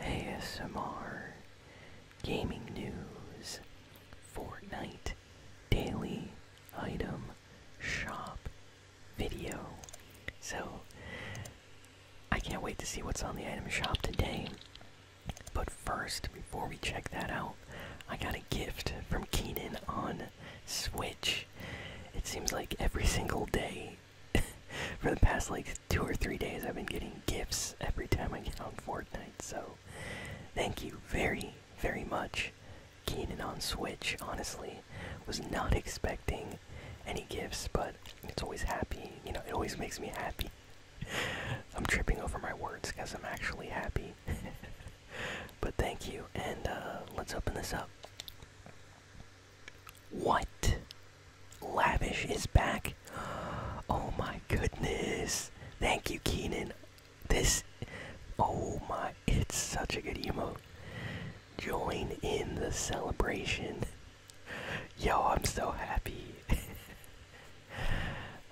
ASMR, gaming news, Fortnite, daily item, shop, video. So, I can't wait to see what's on the item shop today. But first, before we check that out, I got a gift from Keenan on Switch. It seems like every single day for the past like two or three days I've been getting gifts every time I get on Fortnite. So thank you very, very much, Keenan on Switch. Honestly, was not expecting any gifts, but it's always happy. You know, it always makes me happy. I'm tripping over my words because I'm actually happy. but thank you, and uh, let's open this up. What? Lavish is back. Oh my goodness. Thank you, Keenan. This. Oh my. It's such a good emote. Join in the celebration. Yo, I'm so happy.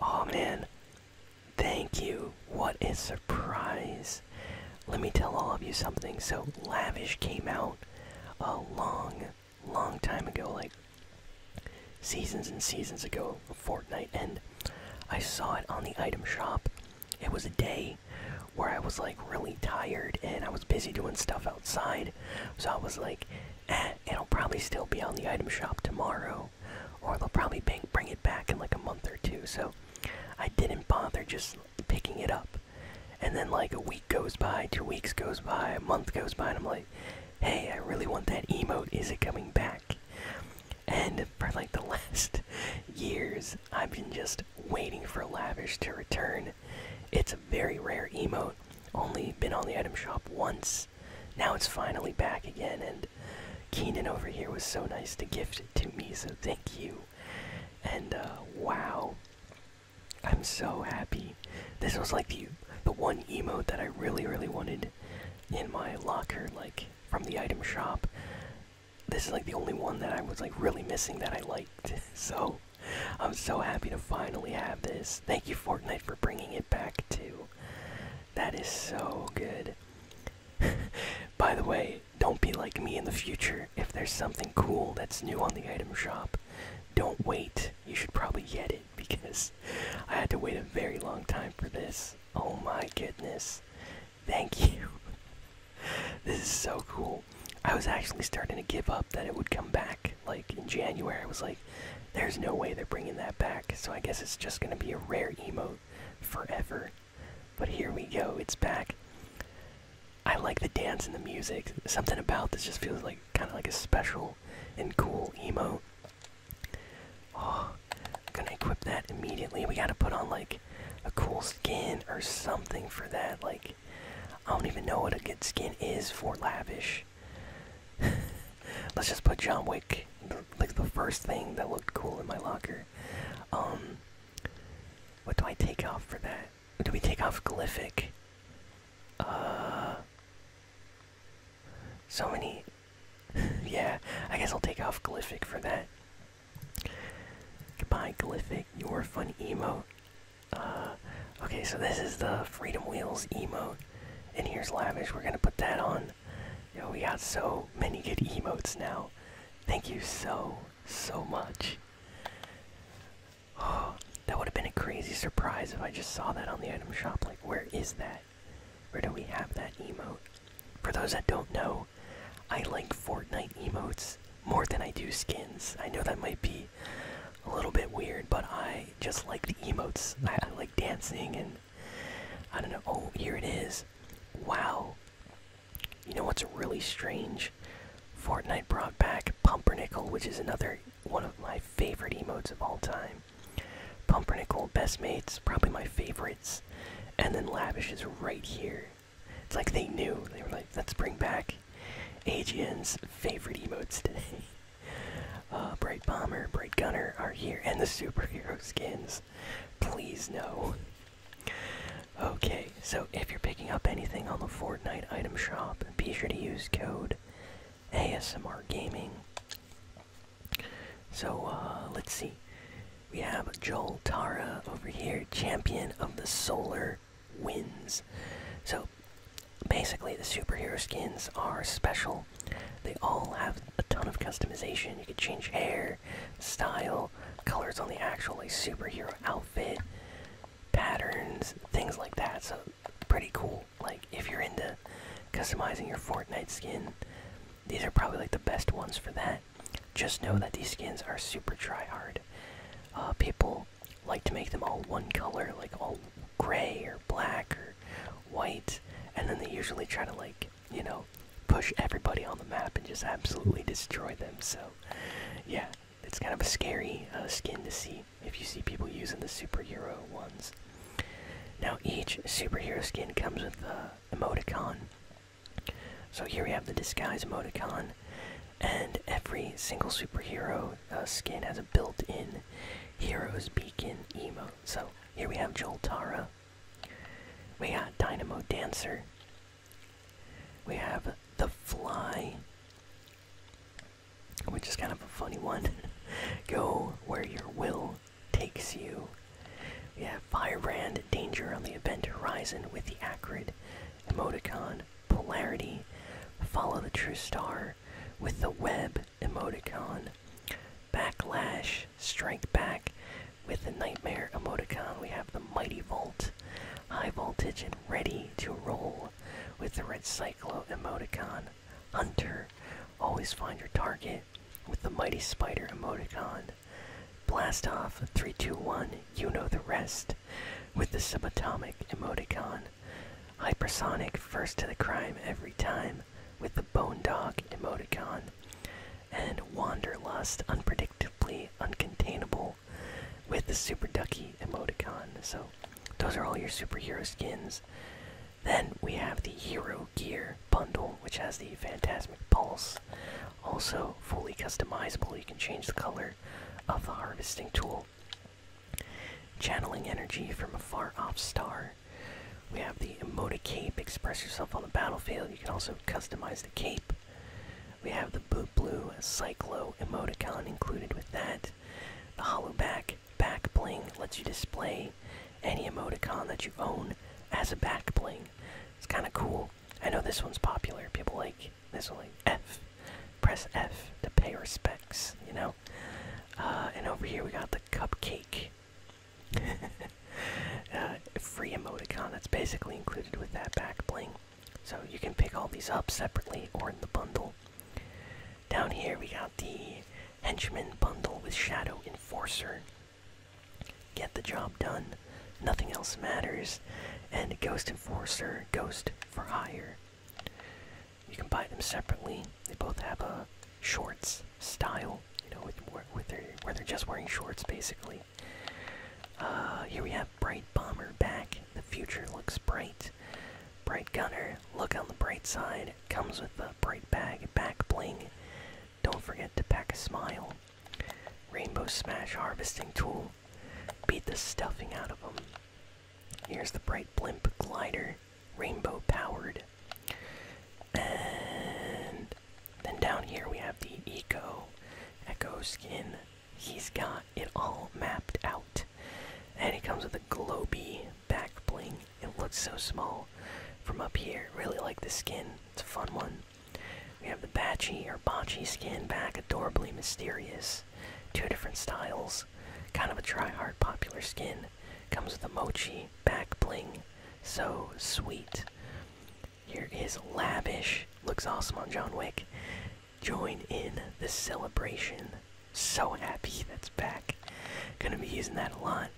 oh man. Thank you. What a surprise. Let me tell all of you something. So, Lavish came out a long long time ago, like seasons and seasons ago, fortnight and I saw it on the item shop. It was a day where I was like really tired and I was busy doing stuff outside, so I was like, eh, it'll probably still be on the item shop tomorrow, or they'll probably bring it back in like a month or two. So I didn't bother just picking it up and then like a week goes by two weeks goes by a month goes by and i'm like hey i really want that emote is it coming back and for like the last years i've been just waiting for lavish to return it's a very rare emote only been on the item shop once now it's finally back again and keenan over here was so nice to gift it to me so thank you and uh, wow I'm so happy. This was like the the one emote that I really really wanted in my locker, like from the item shop. This is like the only one that I was like really missing that I liked. So I'm so happy to finally have this. Thank you Fortnite for bringing it back too. That is so good. By the way, don't be like me in the future. If there's something cool that's new on the item shop, don't wait. You should probably get it because I had to wait a very long time for this. Oh my goodness. Thank you. this is so cool. I was actually starting to give up that it would come back like in January. I was like, there's no way they're bringing that back. So I guess it's just going to be a rare emote forever. But here we go. It's back. I like the dance and the music. Something about this just feels like kind of like a special and cool emo. Oh, I'm gonna equip that immediately. We gotta put on like a cool skin or something for that. Like, I don't even know what a good skin is for lavish. Let's just put John Wick, like the first thing that looked cool in my locker. Um, what do I take off for that? do we take off glyphic? Uh, so many. yeah, I guess I'll take off glyphic for that. Goodbye, glyphic. Your fun emo. Uh, okay, so this is the Freedom Wheels emo, and here's lavish. We're gonna put that on. Yo, we got so many good emotes now. Thank you so so much. Oh, that would have been a crazy surprise if I just saw that on the item shop. Like, where is that? Where do we have that emote? For those that don't know, I like Fortnite emotes more than I do skins. I know that might be a little bit weird, but I just like the emotes. I, I like dancing and I don't know. Oh, here it is. Wow. You know what's really strange? Fortnite brought back Pumpernickel, which is another one of my favorite emotes of all time. Pumpernickel, best mates, probably my favorites. And then Lavish is right here. It's like they knew. They were like, let's bring back AGN's favorite emotes today. Uh, Bright Bomber, Bright Gunner are here, and the superhero skins. Please no. Okay, so if you're picking up anything on the Fortnite item shop, be sure to use code ASMR Gaming. So uh, let's see. We have Joel Tara over here, champion of the solar winds. So basically, the superhero skins are special. They all have a ton of customization. You can change hair, style, colors on the actual like, superhero outfit patterns, things like that. So pretty cool. Like if you're into customizing your Fortnite skin, these are probably like the best ones for that. Just know that these skins are super try hard. Uh, people like to make them all one color, like all gray or black or white, and then they usually try to like you know push everybody on the map and just absolutely destroy them. So yeah, it's kind of a scary uh, skin to see if you see people using the superhero ones. Now each superhero skin comes with a emoticon. So here we have the disguise emoticon, and every single superhero uh, skin has a built-in hero's beacon emote. So here we have Joel Tara. We got Dynamo Dancer. We have the Fly which is kind of a funny one. Go where your will takes you. We have Firebrand, Danger on the Event Horizon with the Acrid, Emoticon, Polarity, Follow the True Star with the Web Emoticon, Backlash, Strike Back with the Nightmare Emoticon. We have the Mighty Volt High Voltage, and Ready to Roll with the red Cyclo emoticon. Hunter, always find your target with the Mighty Spider emoticon. Blast off 321, you know the rest with the subatomic emoticon. Hypersonic, first to the crime every time with the bone dog emoticon. And wanderlust, unpredictably uncontainable with the Super Ducky emoticon. So, those are all your superhero skins. Then we have the Hero Gear bundle, which has the Phantasmic Pulse. Also, fully customizable, you can change the color of the harvesting tool. Channeling energy from a far off star. We have the Emote Cape, express yourself on the battlefield. You can also customize the cape. We have the Boot Blue Cyclo emoticon included with that. The Hollow Back Back Bling lets you display any emoticon that you own as a back bling. It's kind of cool. I know this one's popular. People like this one, like F. Press F to pay respects, you know? Uh, and over here we got the Cupcake. uh, free emoticon that's basically included with that back bling. So you can pick all these up separately or in the bundle. Down here we got the Henchman bundle with Shadow Enforcer. Get the job done, nothing else matters, and Ghost Enforcer, Ghost for Hire. You can buy them separately. They both have a shorts style, you know, with, with their, where they're just wearing shorts basically. Uh, here we have Bright Bomber back. The future looks bright. Bright Gunner, look on the bright side. Comes with a bright bag, back bling. Don't forget to pack a smile. Rainbow Smash Harvesting Tool. Beat the stuffing out of them. Here's the Bright Blimp Glider, rainbow powered. And then down here we have the Eco Echo skin he's got it all mapped out. And it comes with a globy back bling. It looks so small from up here. Really like the skin. It's a fun one. We have the Batchy or Bocce skin back, adorably mysterious. Two different styles. Kind of a try-hard popular skin. Comes with a mochi back bling. So sweet. Here is Lavish. Looks awesome on John Wick. Join in the celebration. So happy that's back. Gonna be using that a lot.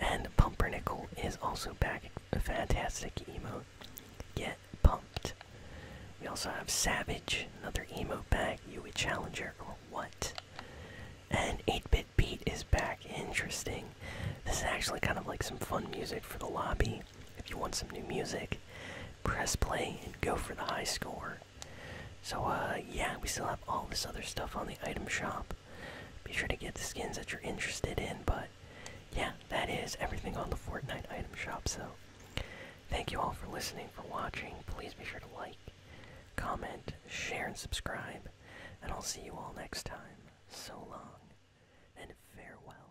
And Pumpernickel is also back. A fantastic emo. Get pumped. We also have Savage, another emo back. You a challenger or what? And 8-Bit Beat is back. Interesting. This is actually kind of like some fun music for the lobby. If you want some new music, press play and go for the high score. So, uh, yeah, we still have all this other stuff on the item shop. Be sure to get the skins that you're interested in, but yeah, that is everything on the Fortnite item shop. So, thank you all for listening, for watching. Please be sure to like, comment, share, and subscribe. And I'll see you all next time. So long, and farewell.